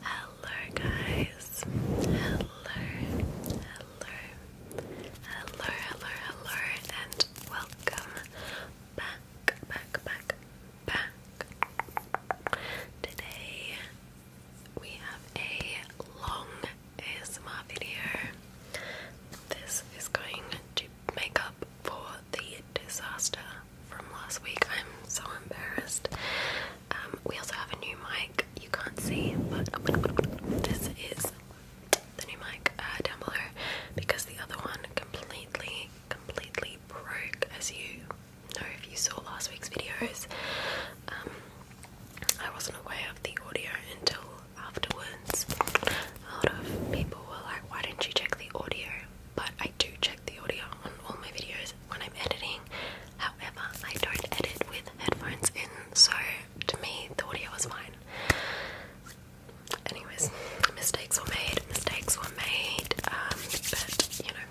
Hello, guys. Hello, hello, hello, hello, hello, and welcome back, back, back, back. Today we have a long ASMR video. This is going to make up for the disaster from last week. I'm so embarrassed. Um, we also have a new mic. You can't see, but this is the new mic uh, down because the other one completely, completely broke, as you know if you saw last week's videos. Um, I wasn't aware of the audio until afterwards. A lot of people were like, why didn't you check the audio? But I do check the audio on all my videos when I'm editing. However, I don't edit with headphones in, so to me, the audio was fine. Anyways, mistakes were made, mistakes were made, um, but you know,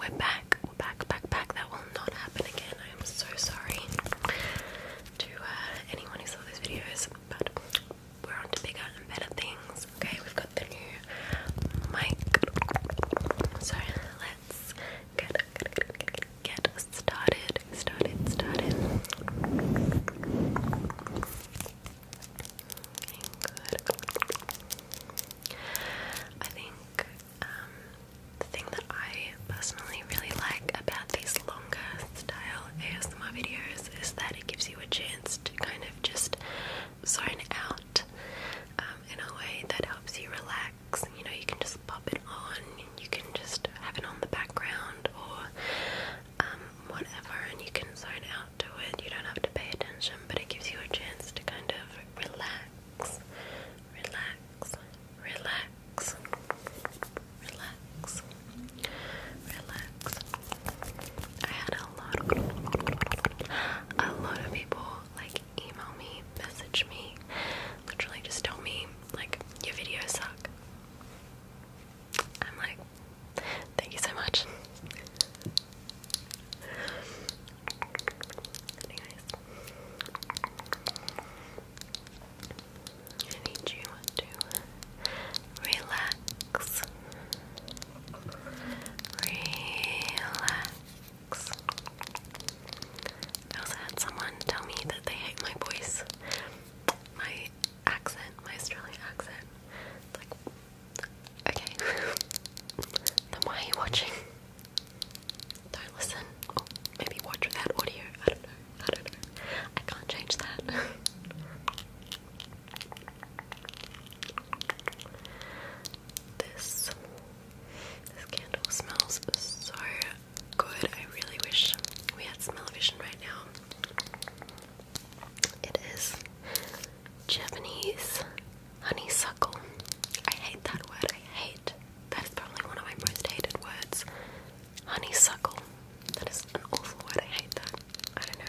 we're back, we're back, back, back. That will not happen again. I am so sorry to uh, anyone who saw those videos, but we're on bigger and better things. Okay, we've got the new mic, so let's get get started. Started, started. I think um, the thing that I personally really like about these longer style ASMR videos is that it gives you a chance to kind of just zone out um, in a way that helps you relax. You know, you can just pop it on, you can just have it on the background or um, whatever, and you can zone out to it. You don't have to pay attention, but it gives you a chance to kind of relax, relax, relax relax, relax, relax. I had a lot, a lot of people like email me, message me, literally just tell me like your videos suck. I'm like, thank you so much. Anyways. I need you to relax. Relax. I also had someone tell me that they hate my voice, my accent, my Australian accent. It's like, okay, then why are you watching? Don't listen. maybe watch without audio. I don't know. I don't know. I can't change that. this this candle smells so good. I really wish we had smell right now. It is Japanese honeysuckle. I hate that word. I hate. That is probably one of my most hated words. Honeysuckle. That is an awful word. I hate that. I don't know.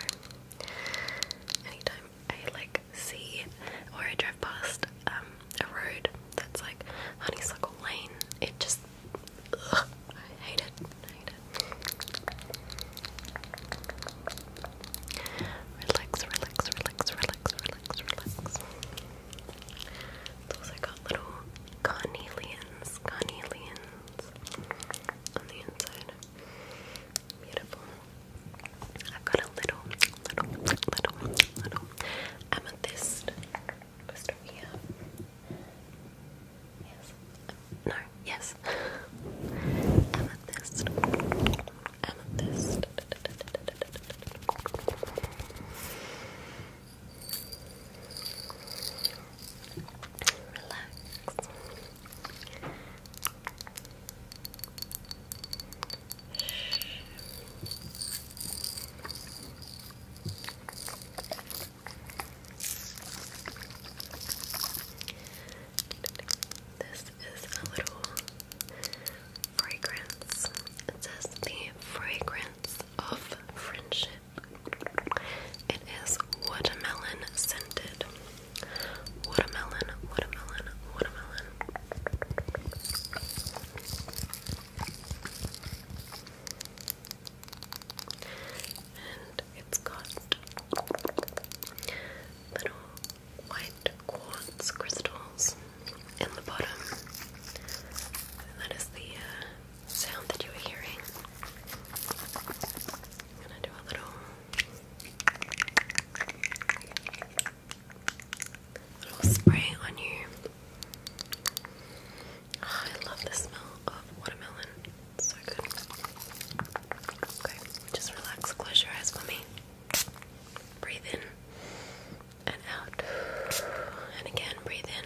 Anytime I like see or I drive past um, a road that's like honeysuckle lane, it just ugh, I hate it. I hate it. Relax, relax, relax, relax, relax, relax. It's also got little carnelians, carnelians on the inside. Beautiful. I've got a little, little, little, little amethyst just over Yes. No. Yes. amethyst. Amethyst. Relax. This is a little fragrance. It says the fragrance of friendship. It is watermelon scented. Watermelon, watermelon, watermelon. And it's got little white quartz crystals in the bottom. that is the uh, sound that you were hearing. I'm gonna do a little, little spray on you. Ah, I love the smell of watermelon. so good. Okay, just relax, close your eyes for Breathe in and out. And again, breathe in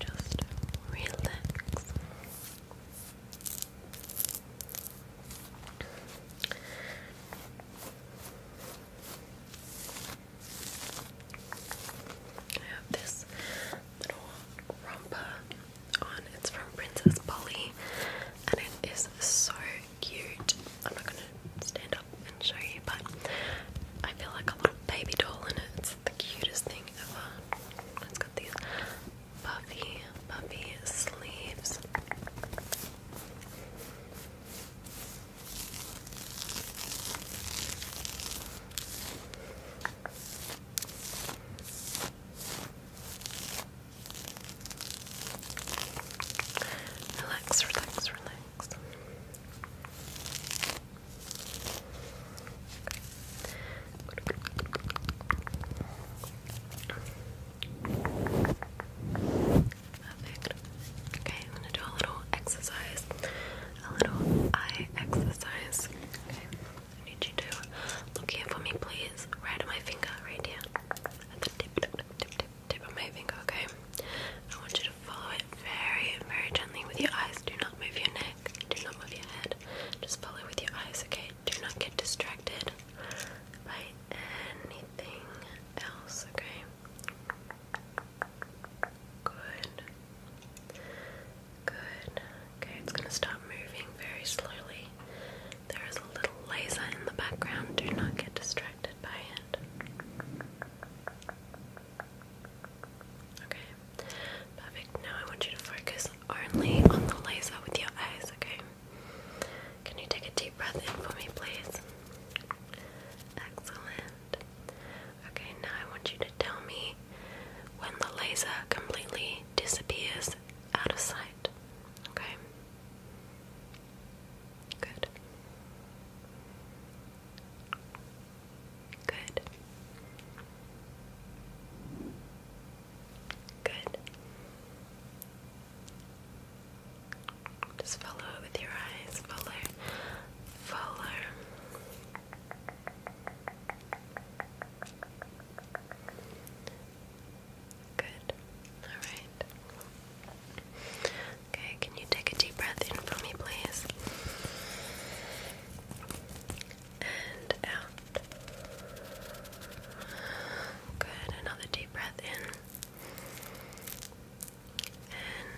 Just relax. I have this little romper on. It's from Princess Polly and it is so cute. I'm not gonna stand up and show you, but I feel like a little baby doll in it the cutest thing ever. It's got these puffy, puffy sleeves. Relax, relax, relax. Perfect. Okay, I'm gonna do a little exercise, a little eye exercise. Okay, I need you to look here for me, please. Right on my finger, right here, at the tip, tip, tip, tip, tip of my finger. Okay, I want you follow it very, very gently with your eyes. Do not move your neck. Do not move your head. Just follow with your eyes, okay? Do not get distracted by anything else, okay? Good. Good. Okay, it's gonna start moving very slowly. There is a little laser in the background. Do not get distracted by it. Okay, perfect. Now I want you to focus only on the laser with your eyes, okay? Can you take a deep breath in for me, please? Excellent. Okay, now I want you to tell me when the laser completely disappears out of sight, okay? Good. Good. Good. Just follow it with your eyes. Follow. Follow. Good. Alright. Okay, can you take a deep breath in for me, please? and out. Good, another deep breath in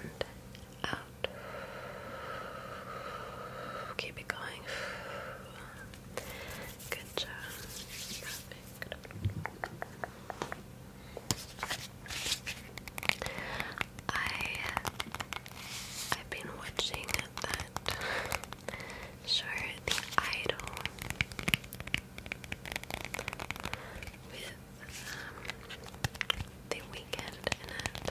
and out. Keep it going. Good job. I I've been watching that show The Idol with um, The Weekend it.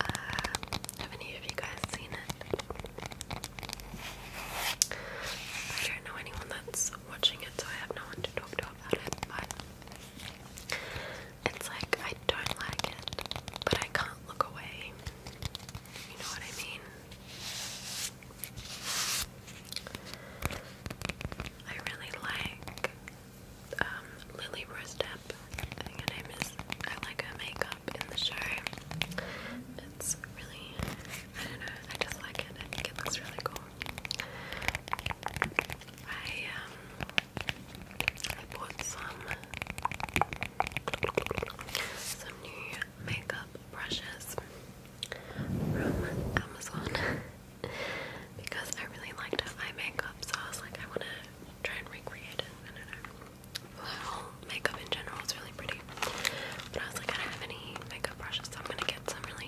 Uh, have any of you guys seen it? I don't know anyone that's watching it, so I have no one to talk to about it, but it's like I don't like it, but I can't look away. You know what I mean? I really like um, Lily Rostep. I think her name is. I like her makeup in the show. It's really. I don't know. I just like it. I think it looks really cool. I um I bought some some new makeup brushes from Amazon because I really liked eye makeup so I was like I wanna try and recreate it. I don't know. Well, makeup in general is really pretty. But I was like I don't have any makeup brushes so I'm gonna get some really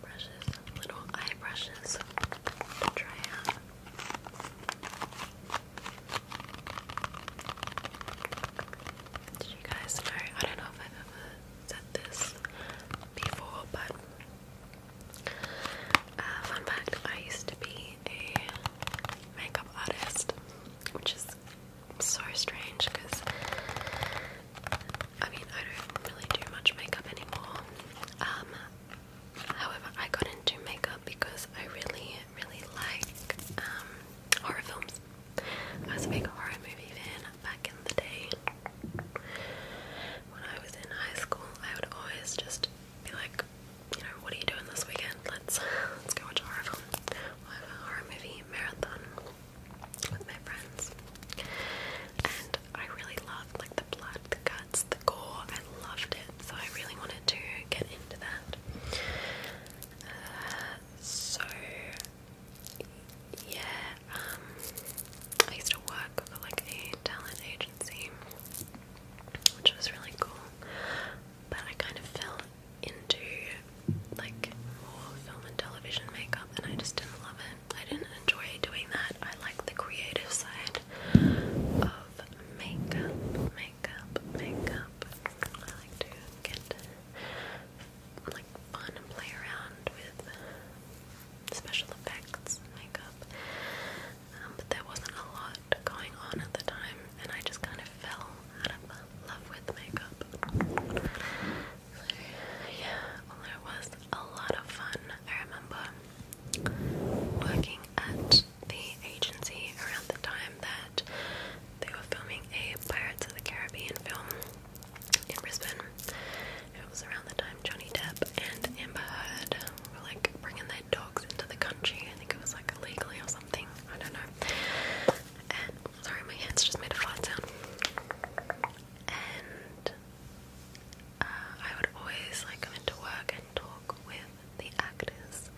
brushes, little eye brushes try out. Did you guys know? I don't know if I've ever said this before, but uh, fun fact I used to be a makeup artist, which is so strange because I mean, I don't really do much makeup anymore, um, however, I got into makeup because I really, really like um, horror films. I was a big horror movie fan back in the day. When I was in high school, I would always just be like, you know, what are you doing this weekend? Let's let's go watch a horror film. We'll have a horror movie marathon with my friends. I really loved like the blood, the guts, the gore. I loved it, so I really wanted to get into that. Uh, so yeah, um, I used to work for like a talent agency, which was really cool. But I kind of fell into like more film and television makeup, and I just didn't love it. I didn't enjoy doing that. I like the creative side of makeup, makeup, makeup. I like to get like fun and play around with special effects makeup. Um, but there wasn't a lot going on at the time, and I just kind of fell out love with makeup. yeah, all was a lot of fun. I remember working at the agency around the time that they were filming a Pirates of the Caribbean film in Brisbane. It was around the time Johnny Depp and Amber Heard were like bringing their dogs into the country. I think it was like illegally or something. I don't know. sorry, my hands just made a fart sound. And uh, I would always like go into work and talk with the actors,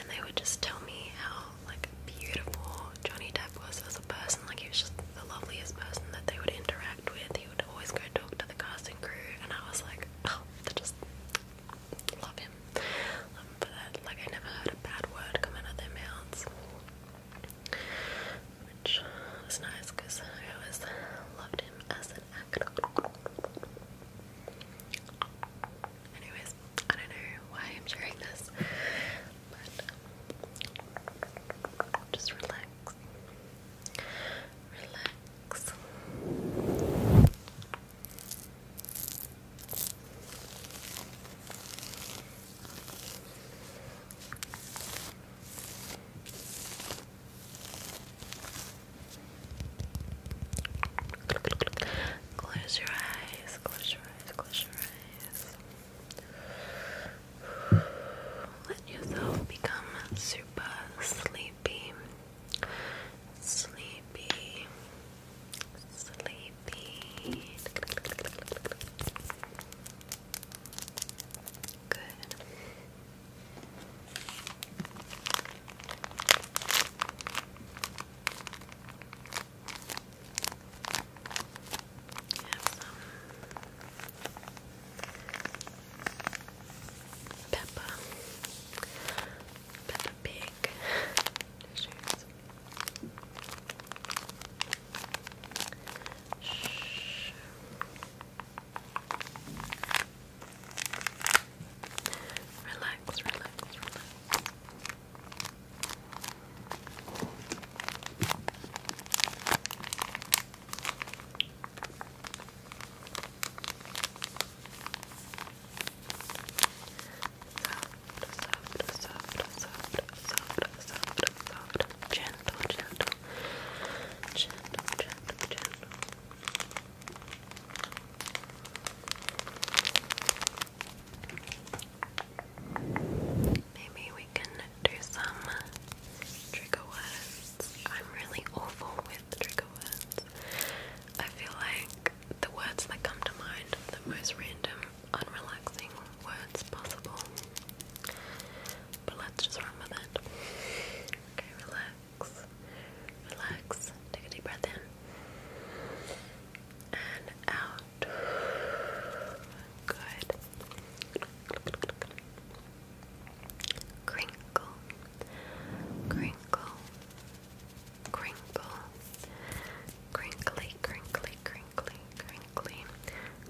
and they would just tell me how like beautiful Johnny Depp was as a person. Like he was just the loveliest person that they would interact with. He would always go talk to the casting crew, and I was like, oh, they just love him. Love him for that. Like I never heard a bad word come out of their mouths which was nice because I always loved him as an actor. Anyways, I don't know why I'm sharing this, but um, just relax, relax. Close your eyes, close your eyes, close your eyes. Let yourself become super sleepy. Sleepy. Sleepy. Good. Have Peppa, Peppa Pig Shh. Relax, relax, relax. Soft, soft, soft, soft, soft, soft, soft, gentle, gentle, Maybe we can do some trigger words. I'm really awful with trigger words. I feel like the words that come to mind, the most random, unrelaxing words possible. But let's just remember that. Okay, relax. Relax. Take a deep breath in. And out. Good. Crinkle. Crinkle. Crinkle. Crinkly, crinkly, crinkly, crinkly.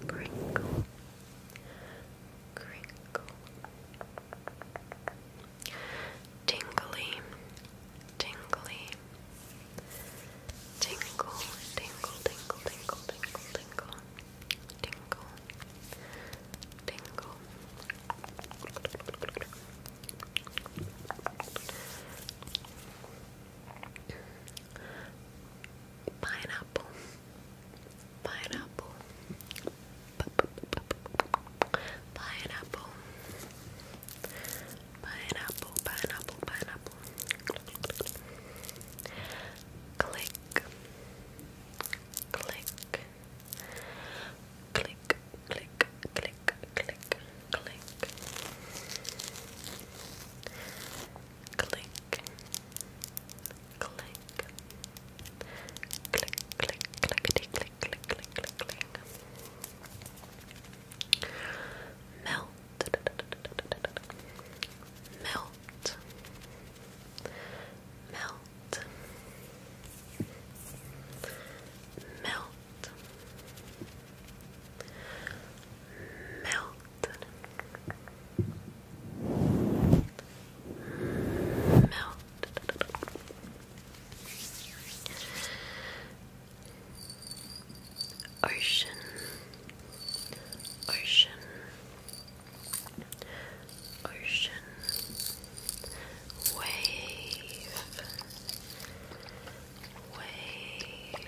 Crinkle crinkle, tingly, tingly, tingle, tingle, tingle, tingle, tingle, tingle, tingle, tingle. Pineapple, Pineapple. Pineapple. Pineapple, pineapple, pineapple. Click. Click. Click, click, click, click, click. Click click, click, click, clickety, click, click, click, click, click. Melt, melt, melt, melt, melt. Melt. Ocean. Ocean. Ocean. Wave. Wave.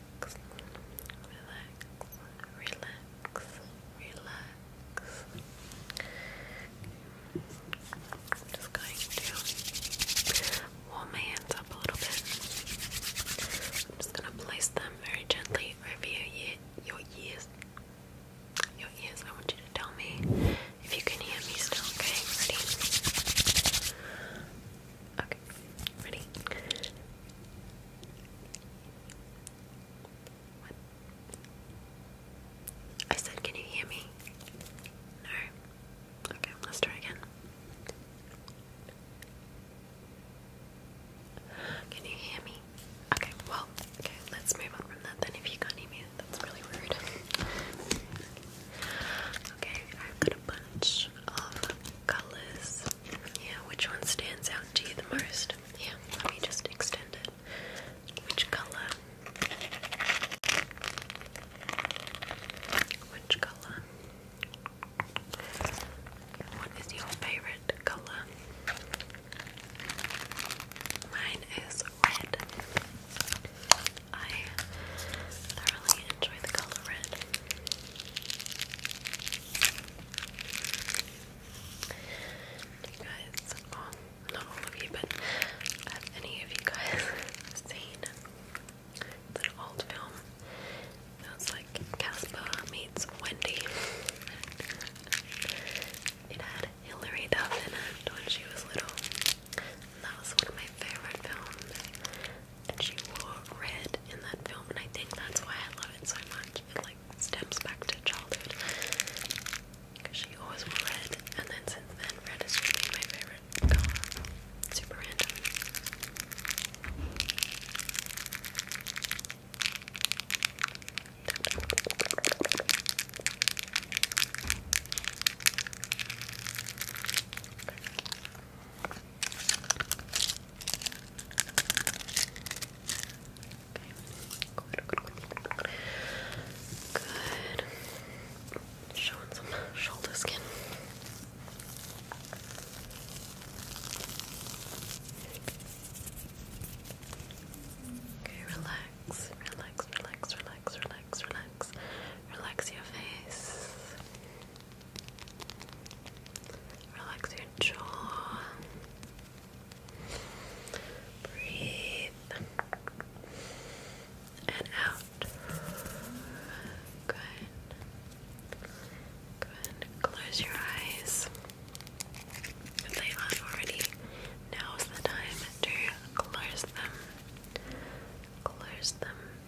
relax, relax, relax. i just going to warm my hands up a little bit. I'm just going to place them very gently over your ears. Your ears, I want you to tell me if you can hear me still, okay? Ready? Okay, ready? I said, can you hear me? No? Okay, let's try again. Can you hear me? Okay, well, okay, let's move on from that then if you can't hear me, that's really rude. okay, I've got a bunch of colours yeah, which one stands out to you the most? Yeah, let me just extend it. Which color? Which color? What is your favorite color? Mine is red. I thoroughly enjoy the color red you guys, not all of you, but have any of you guys seen that old film that was like Casper meets Wendy? it had Hilary Duff in it when she was little. that was one of my favorite films and she wore red in that film, and I think that's why I love it so much. It like steps back to childhood because she always wore red, and then since then, red has just been my favorite color. Super random. Good, Showing some shoulder skin. Okay, relax, relax, relax, relax, relax, relax. Relax your face. Relax your jaw. Breathe. And out. Good. Good. Close your eyes. If they aren't already, now's the time to close them. Close them.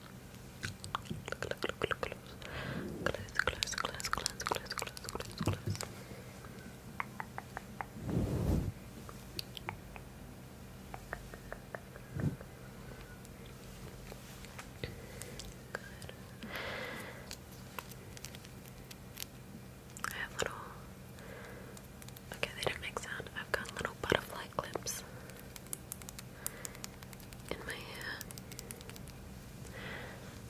Look, look, look, look, close. Close, close, close, close, close, close, close, close. Good. I have little. Okay, they don't make sound. I've got little butterfly clips in my hair.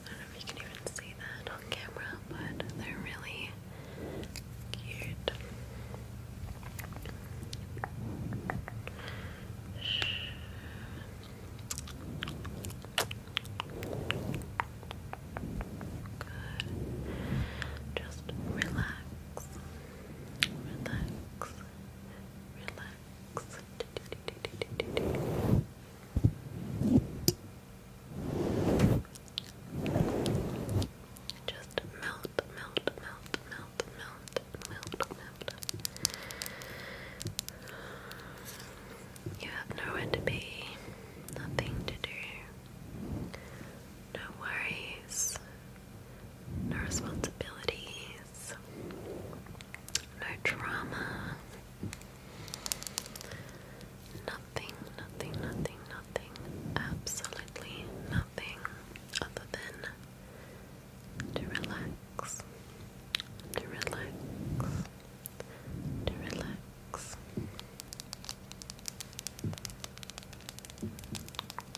I don't know if you can even see that on camera, but they're really cute. Good. Just relax. Relax. Relax. Just melt, melt, melt, melt, melt, melt, melt. You have nowhere to be, nothing to do, no worries, no responsibilities, no drama, nothing, nothing, nothing, nothing, absolutely nothing other than to relax, to relax, to relax.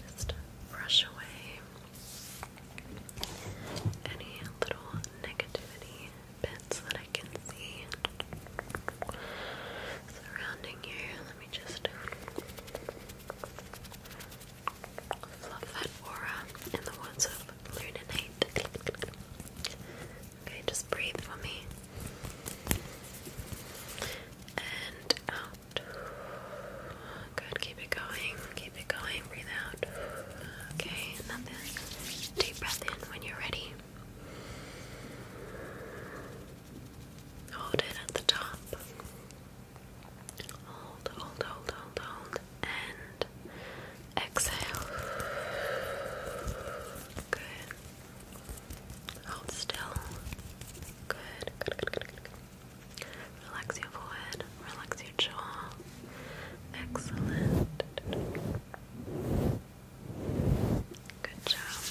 Just brush away any little negativity bits that I can see surrounding you. Let me just fluff that aura in the words lunanite. Okay, just breathe for me. And out. Good, keep it going, keep it going, breathe out. Okay, another deep breath in when you're ready. Hold it at the top. Hold, hold, hold, hold, hold and exhale. Good. Hold still. Good. Good, good, good, good. Relax your forehead. Relax your jaw. Excellent. Good job.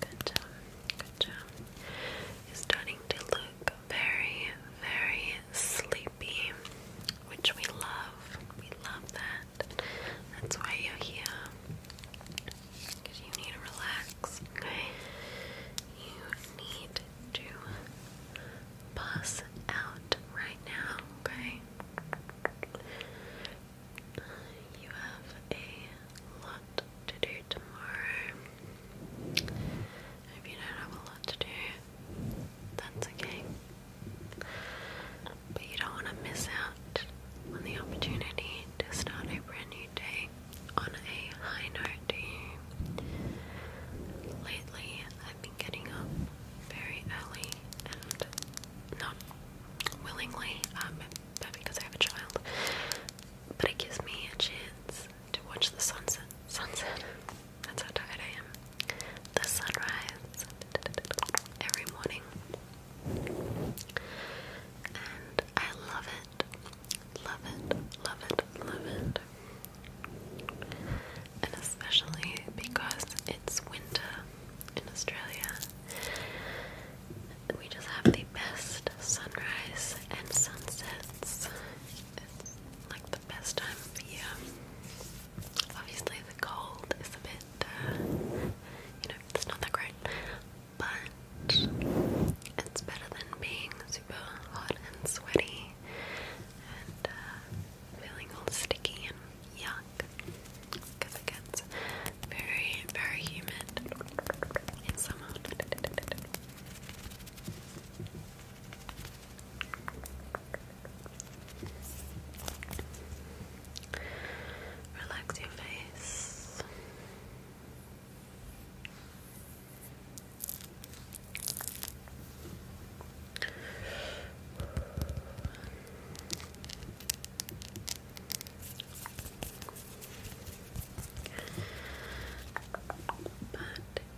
Good job. Good job. you starting to look very, very sleepy, which we love. We love that. That's why you're here. Because you need to relax, okay? You need to buzz out right now, okay? You have a lot to do tomorrow. If you don't have a lot to do, that's okay. But you don't want to miss out on the opportunity to start a brand new day on a high note, do you? Lately, I've been getting up very early and not willingly, um, but because I have a child. But it gives me a chance to watch the sunset. Sunset. That's how tired I am. The sunrise every morning. And I love it. Love it. Love it. Love it. And especially because it's winter in Australia. We just have the best sunrise and sunsets the best time of the year. Obviously, the cold is a bit, uh, you know, it's not that great, but it's better than being super hot and sweaty and uh, feeling all sticky and yuck because it gets very, very humid in summer. Relax your face. But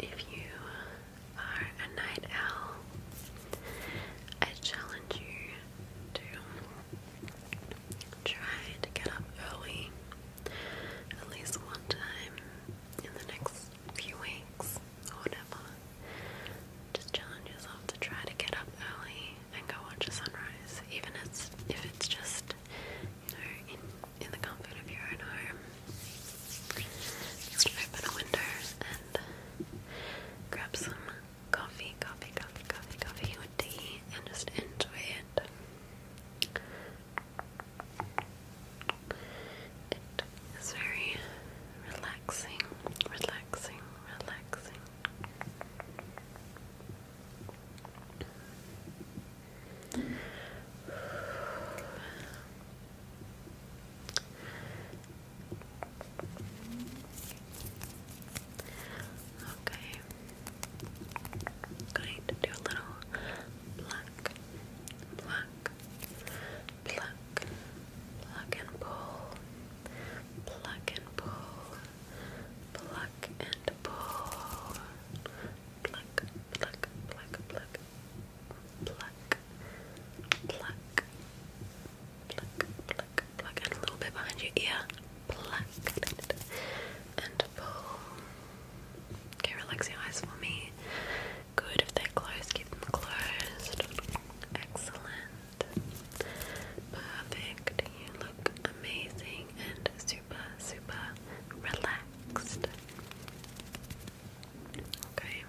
if you are a night owl, I challenge you to try to get up early at least one time in the next few weeks or whatever. Just challenge yourself to try to get up early and go watch a sunrise, even if it's just you know in the comfort of your own home. open a window and grab some coffee, coffee, coffee, coffee, coffee, or tea, and just enjoy it. It is very relaxing, relaxing, relaxing. Okay. i going to do a little pluck, pluck, pluck, pluck and pull, pluck and pull, pluck and pull, pluck, pluck, pluck, pluck, pluck, pluck, pluck, pluck, pluck, and a little bit behind your ear, pluck, and pull. Okay, relax your eyes for me. Good, if they're closed, keep them closed. Excellent. Perfect. You look amazing and super, super relaxed. Okay,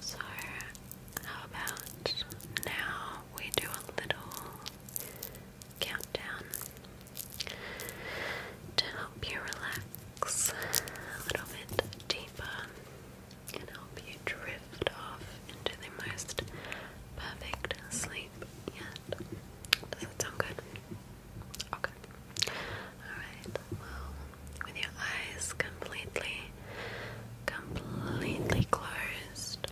so how about now we do a little countdown to help you relax a little bit deeper and help you drift off into the most perfect sleep yet. Does that sound good? Alright, well, with your eyes completely, completely closed,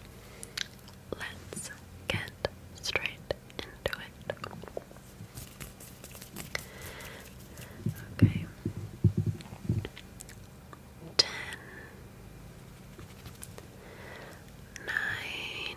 let's get straight into it. Okay. Ten, nine,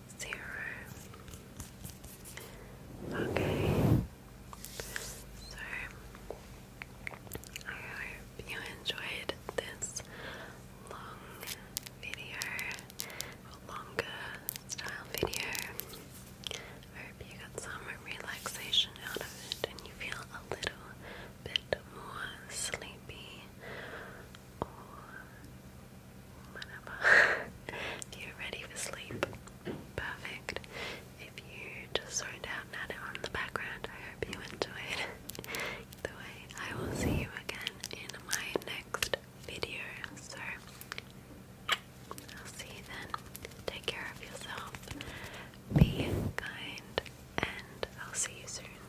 zero. Okay, so I hope you enjoyed this long video, longer style video. I hope you got some relaxation out of it and you feel a little bit more sleepy you're ready for sleep. Perfect. If you just zoned out and had the background, I hope you enjoyed. The way, I will see you again in my next video. So, I'll see you then. Take care of yourself. Be kind, and I'll see you soon.